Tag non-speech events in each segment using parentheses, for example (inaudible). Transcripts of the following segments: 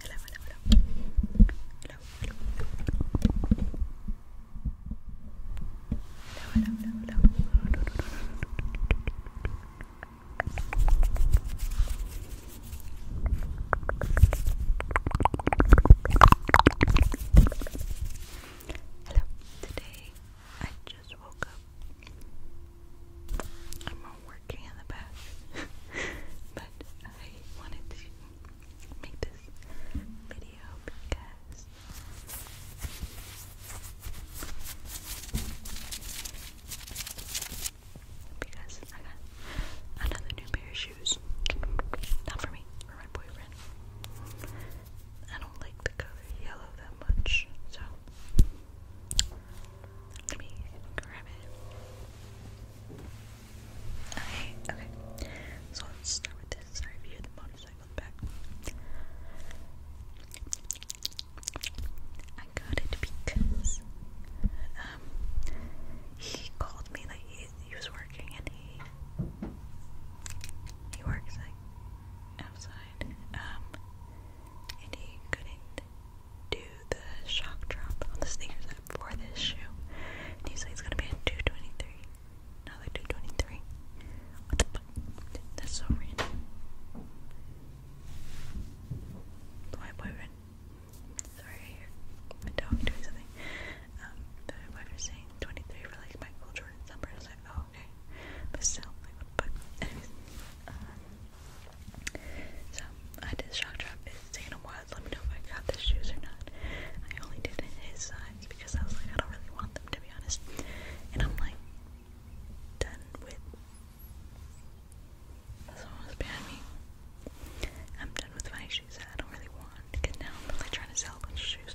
hello, hello. Hello, hello, hello. Hello, hello, hello, Today I just woke up I'm not working in the back, (laughs) but I wanted to make this video because because I got another new pair of shoes. Not for me, for my boyfriend. I don't like the color yellow that much, so let me grab it. Okay, okay. So let's start with this. Sorry if the motorcycle back. I got it because um he called me like he, he was working and he he works like outside um and he couldn't do the shock drop on the sneakers app for this shoe. And usually it's gonna be at 223. Now 223. That's so random. My boyfriend. Sorry, I hear my dog something. my um, boyfriend's saying 23 for like Michael Jordan's number. I was like, oh, okay. But still, like, what Anyways, uh, so I did shock drop. It's taken Let me know if I got the shoes or not. I only did his size because I was like, I don't really want them to be honest. And I'm like done with. Someone was behind me. I'm done with my shoes that I don't really want because now I'm really trying to sell a bunch of shoes.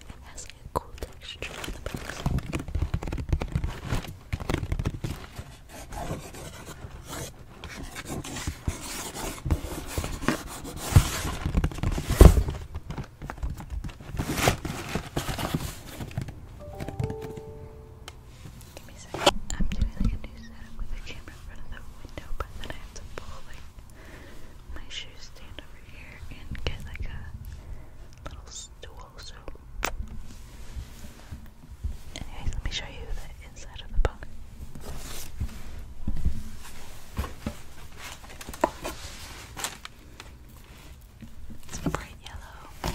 It like a cool texture on the i I'm doing like a new setup with a camera in front of the window, but then I have to pull like my shoes stand over here and get like a little stool. So, anyways, let me show you the inside of the book. It's bright yellow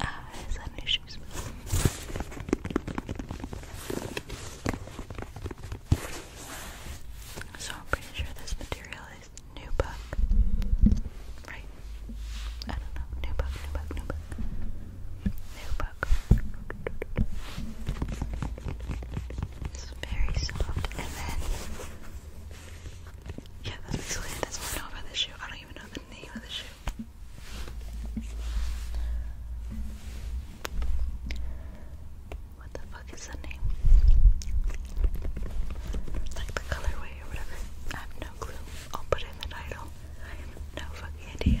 Ah, is that issues? So I'm pretty sure this material is new right? I don't know. New book, new book, it's very soft. And then, yeah, that's basically it. That's all I know about this shoe. I don't even know the name of the shoe. What the fuck is the name? Like the colorway or whatever. I have no clue. I'll put it in the title. I have no fucking idea.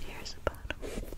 Here's a bottle.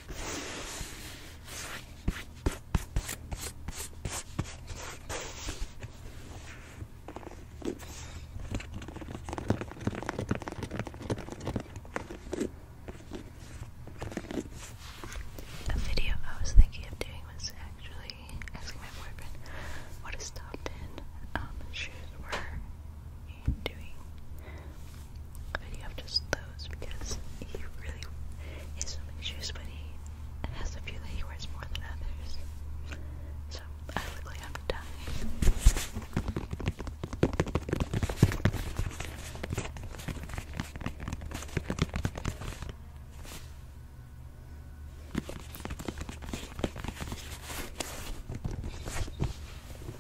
A video I was thinking of doing was actually asking my boyfriend what his top 10 um, shoes were doing a video of just those because he really is so many shoes, but he has a few that he wears more than others. So I look like I'm dying.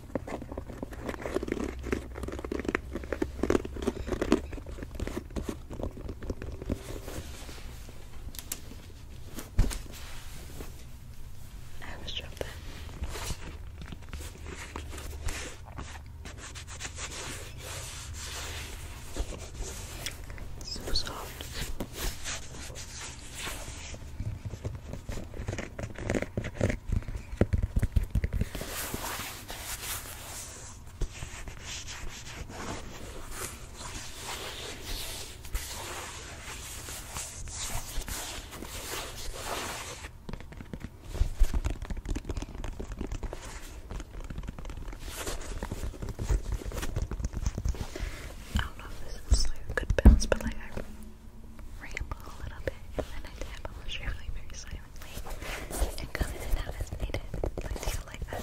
I was jumping. So soft. I don't know if this is like a good bounce, but ramble a little bit, and then I tap on the show silently and come in and out as needed. I feel like that.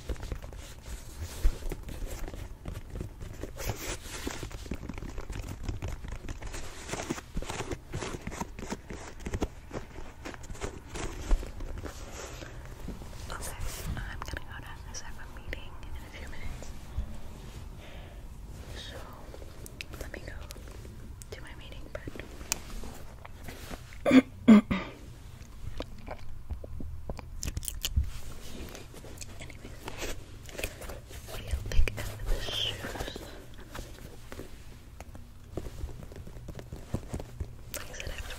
Okay, I'm gonna go down because I meeting in a few minutes. So let me go to my meeting, but Anyways, what do you shoes? I said, I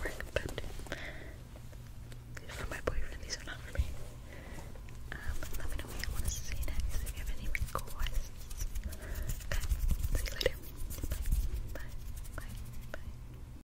work, but for my boyfriend, these are not for me. Um, let me know what you want to see next if you have any requests. Okay, see you later. Bye, bye, bye, bye.